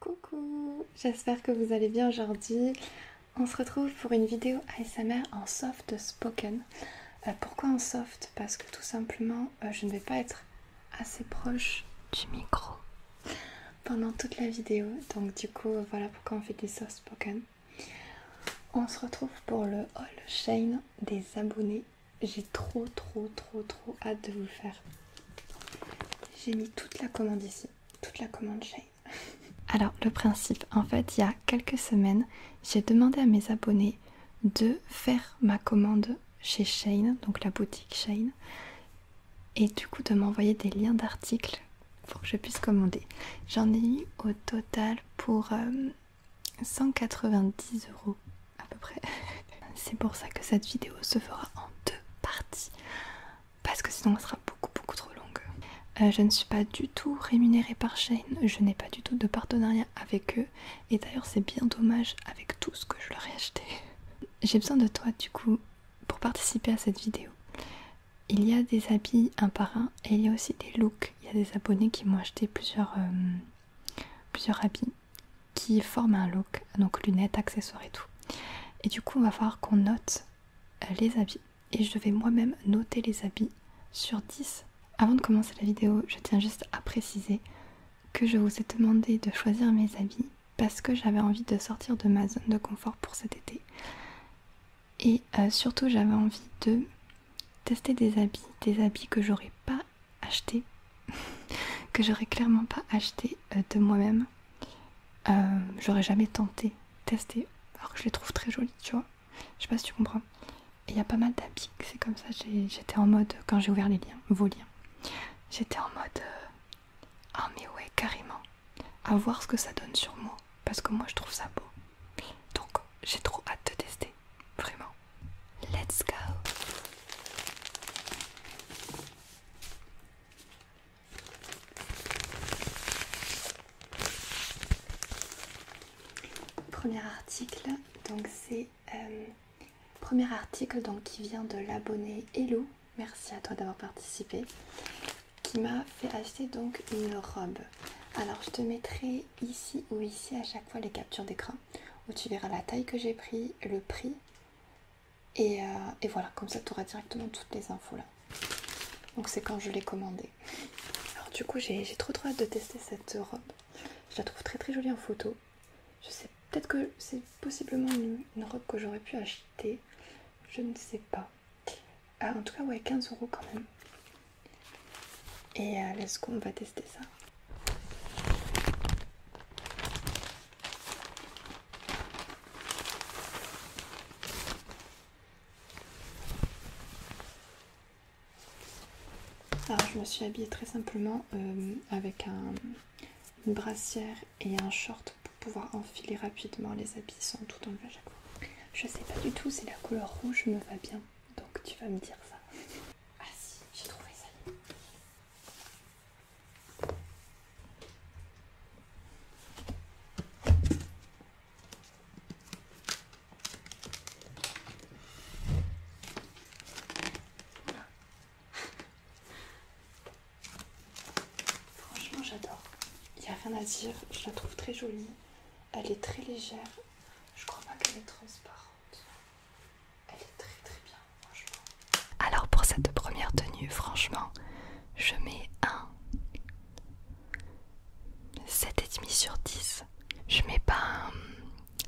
Coucou, j'espère que vous allez bien aujourd'hui. On se retrouve pour une vidéo ASMR en soft spoken. Euh, pourquoi en soft Parce que tout simplement, euh, je ne vais pas être assez proche du micro pendant toute la vidéo. Donc du coup, voilà pourquoi on fait des soft spoken. On se retrouve pour le haul Shane des abonnés. J'ai trop, trop, trop, trop hâte de vous faire. J'ai mis toute la commande ici, toute la commande Shane. Alors, le principe, en fait, il y a quelques semaines, j'ai demandé à mes abonnés de faire ma commande chez Shane, donc la boutique Shane, et du coup de m'envoyer des liens d'articles pour que je puisse commander. J'en ai eu au total pour euh, 190 euros à peu près. C'est pour ça que cette vidéo se fera en deux parties, parce que sinon elle sera beaucoup beaucoup trop longue. Euh, je ne suis pas du tout rémunérée par Shane, je n'ai pas du tout de partenariat avec eux, et d'ailleurs c'est bien dommage avec tout ce que je leur ai acheté. J'ai besoin de toi du coup pour participer à cette vidéo. Il y a des habits un par un et il y a aussi des looks il y a des abonnés qui m'ont acheté euh, plusieurs, habits qui forment un look, donc lunettes, accessoires et tout. Et du coup, on va voir qu'on note euh, les habits. Et je vais moi-même noter les habits sur 10. Avant de commencer la vidéo, je tiens juste à préciser que je vous ai demandé de choisir mes habits parce que j'avais envie de sortir de ma zone de confort pour cet été. Et euh, surtout, j'avais envie de tester des habits, des habits que j'aurais pas acheté, que j'aurais clairement pas acheté euh, de moi-même. Euh, j'aurais jamais tenté, tester alors que je les trouve très jolis, tu vois. Je sais pas si tu comprends. Et il y a pas mal d'habits, c'est comme ça, j'étais en mode, quand j'ai ouvert les liens, vos liens, j'étais en mode, ah mais ouais, carrément, à voir ce que ça donne sur moi, parce que moi je trouve ça beau. Donc j'ai trop hâte de tester, vraiment. Let's go Premier article, donc c'est euh, premier article donc qui vient de l'abonné Hello, merci à toi d'avoir participé, qui m'a fait acheter donc une robe. Alors je te mettrai ici ou ici à chaque fois les captures d'écran où tu verras la taille que j'ai pris, le prix et, euh, voilà comme ça tu auras directement toutes les infos là. Donc c'est quand je l'ai commandé. Alors du coup j'ai trop trop hâte de tester cette robe. Je la trouve très très jolie en photo. Je sais peut-être que c'est possiblement une robe que j'aurais pu acheter. Je ne sais pas. Ah, en tout cas, ouais, 15 euros quand même. Et euh, ce qu'on va tester ça. Alors, je me suis habillée très simplement euh, avec un, une brassière et un short pour pouvoir enfiler rapidement les habits sans tout enlever à chaque fois. Je sais pas du tout si la couleur rouge me va bien donc tu vas me dire ça. Ah si, j'ai trouvé ça. Franchement, j'adore. Il y a rien à dire, je la trouve très jolie. Elle est très légère. Je crois pas qu'elle est transparente. Elle est très très bien, franchement. Alors pour cette première tenue, franchement, je mets un 7,5 sur 10. Je mets pas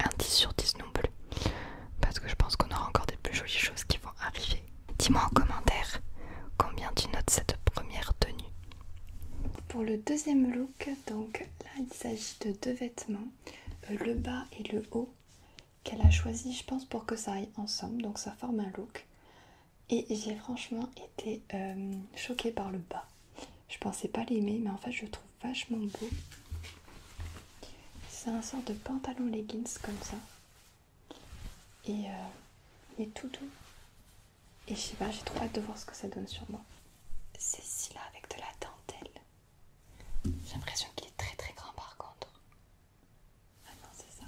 un, 10 sur 10 non plus. Parce que je pense qu'on aura encore des plus jolies choses qui vont arriver. Dis-moi en commentaire combien tu notes cette première tenue. Pour le deuxième look, donc là, il s'agit de deux vêtements, euh, le bas et le haut, qu'elle a choisi, je pense, pour que ça aille ensemble. Donc ça forme un look. Et j'ai franchement été euh, choquée par le bas. Je pensais pas l'aimer, mais en fait, je le trouve vachement beau. C'est un sort de pantalon leggings comme ça. Et euh, tout doux. Et je sais pas, j'ai trop hâte de voir ce que ça donne sur moi. Ceci-là avec de la dentelle. J'ai l'impression qu'il est très très grand par contre. Ah non, c'est ça.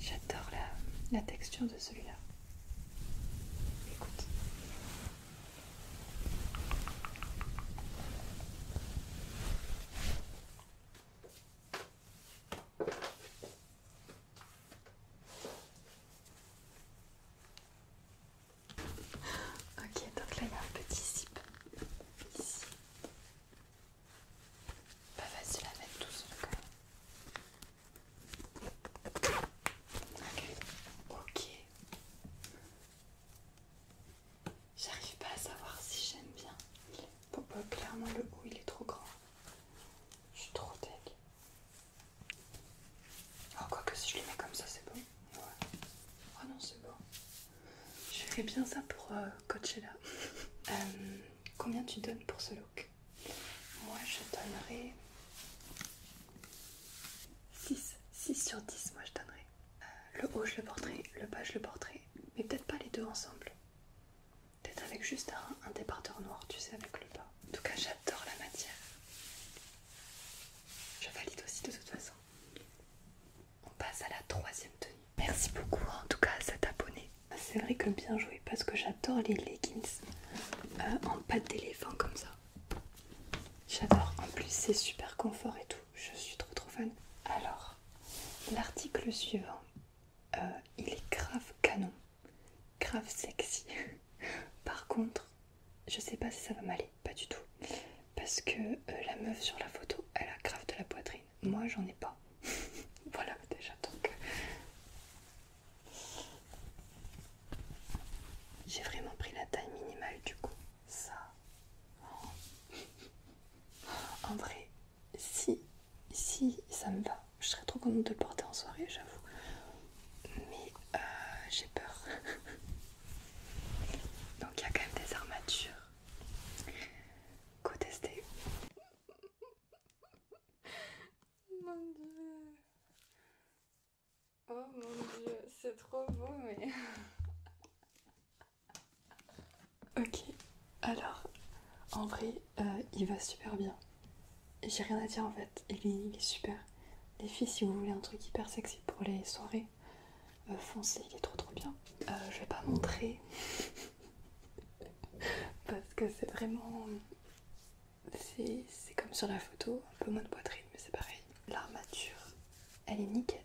J'adore la, la texture de celui-là. Écoute. Ok, donc là il y a un petit zip ici. Bah, pas facile à mettre tout seul quand même. Ok. J'arrive pas à savoir si j'aime bien. Bon, clairement le haut il est trop grand. Je suis trop tech. Ah, oh, que si je les mets comme ça, c'est bon. Ouais. Ah non, c'est bon. Je ferais bien ça pour euh, Coachella. Euh, combien tu donnes pour ce look Moi, je donnerais 6. 6 sur 10, moi, je donnerais. Euh, le haut, je le porterai. Le bas, je le porterai. Mais peut-être pas les deux ensemble. Peut-être avec juste un, débardeur noir, tu sais, avec le bas. En tout cas, j'adore la matière. Je valide aussi de toute façon. On passe à la troisième tenue. Merci beaucoup en tout cas à cet abonné. C'est vrai que bien joué parce que j'adore les leggings euh, en pâte d'éléphant comme ça. J'adore. En plus c'est super confort et tout. Je suis trop trop fan. Alors, l'article suivant, euh, il est grave canon grave sexy. Par contre, je sais pas si ça va m'aller, pas du tout. Parce que euh, la meuf sur la photo, elle a grave de la poitrine. Moi, j'en ai pas. voilà, déjà, donc. J'ai vraiment pris la taille minimale, du coup. Ça. en vrai, si, si ça me va, je serais trop contente de le porter en soirée, j'avoue. Mais euh, j'ai peur. Donc il y a quand même des armatures. Co-tester. Mon dieu. Oh mon dieu, c'est trop beau, mais. ok, alors en vrai, euh, il va super bien. J'ai rien à dire en fait, il est, super. Les filles, si vous voulez un truc hyper sexy pour les soirées, euh, foncez, il est trop trop bien. Euh, je vais pas montrer parce que c'est vraiment. C'est comme sur la photo, un peu moins de poitrine, mais c'est pareil. L'armature, elle est nickel,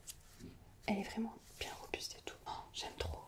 elle est vraiment bien robuste et tout. Oh, j'aime trop.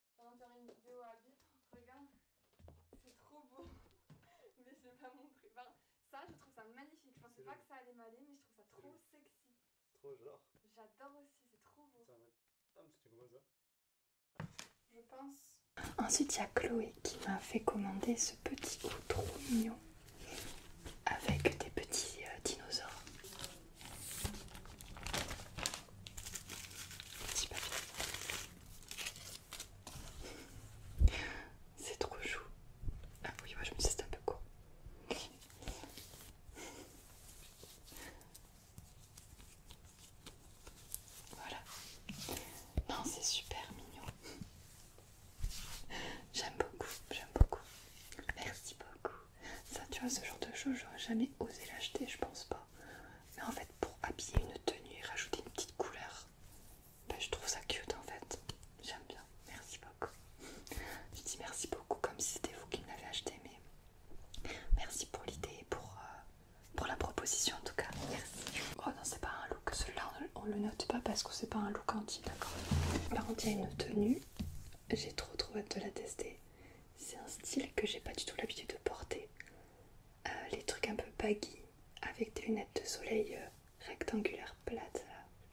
On va faire une vidéo à Regarde, c'est trop beau. mais je vais pas montrer. Enfin, ça, je trouve ça magnifique. Je pensais pas que ça allait m'aller, mais je trouve ça trop sexy. Trop, genre. J'adore aussi, c'est trop beau. ah, tu ça Je pense. Ensuite, il y a Chloé qui m'a fait commander ce petit coup trop mignon avec des petits euh, dinosaures. Petit papier. C'est trop chou. Ah oui, moi je me suis un peu court. Voilà. Non, c'est super mignon. J'aime beaucoup, j'aime beaucoup. Merci beaucoup. Ça, tu vois, ce genre de choses, j'aurais jamais osé l'acheter, je pense pas mais en fait pour habiller une tenue et rajouter une petite couleur bah, je trouve ça cute en fait j'aime bien merci beaucoup je dis merci beaucoup comme si c'était vous qui me l'avez acheté mais merci pour l'idée et pour, euh, la proposition en tout cas merci oh non c'est pas un look celui-là on, le note pas parce que c'est pas un look anti d'accord par on il une tenue j'ai trop trop hâte de la tester c'est un style que j'ai pas du tout l'habitude de porter euh, les trucs un peu baggy avec des lunettes de soleil euh, rectangulaires plates.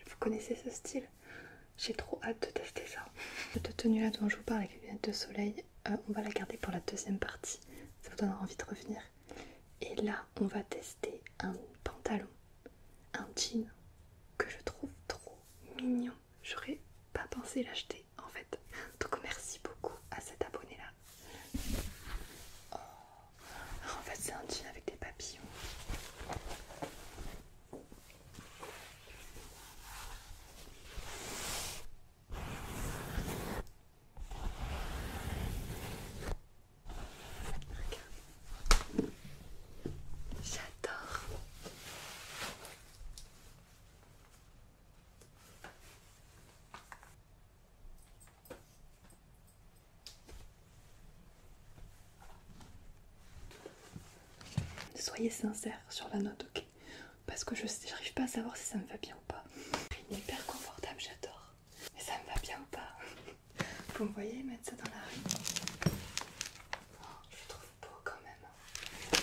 Vous connaissez ce style J'ai trop hâte de tester ça. Cette tenue là dont je vous parle avec les lunettes de soleil, euh, on va la garder pour la deuxième partie. Ça vous donnera envie de revenir. Et là, on va tester un pantalon, un jean que je trouve trop mignon. J'aurais pas pensé l'acheter en fait. Donc merci beaucoup à cet abonné là. Oh. En fait c'est un jean avec des papillons. J'adore. Soyez sincère sur la note, ok Parce que je n'arrive pas à savoir si ça me va bien ou pas. Il est hyper confortable, j'adore. Mais ça me va bien ou pas Vous me voyez mettre ça dans la rue oh, Je le trouve beau quand même.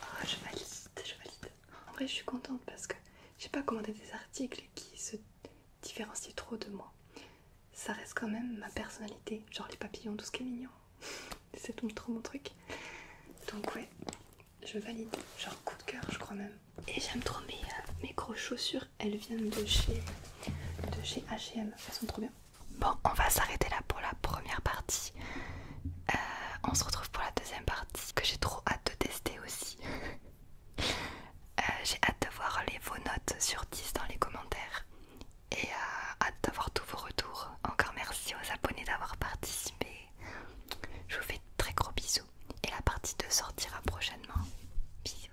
Ah, je valide, je valide. En vrai, je suis contente parce que j'ai pas commandé des articles qui se différencient trop de moi. Ça reste quand même ma personnalité, genre les papillons, tout ce qui est mignon. C'est trop mon truc. Donc ouais, je valide. Genre coup de cœur, je crois même. Et j'aime trop mes, euh, mes grosses chaussures. Elles viennent de chez de chez H&M. Elles sont trop bien. Bon, on va s'arrêter là pour la première partie. Euh, on se retrouve pour la deuxième partie que j'ai trop hâte de tester aussi. Euh, j'ai hâte de voir les, vos notes sur 10 dans les commentaires et euh, hâte d'avoir tous vos retours. Encore merci aux abonnés d'avoir participé. Je vous fais de très gros bisous et la partie 2 sortira prochainement. Bisous.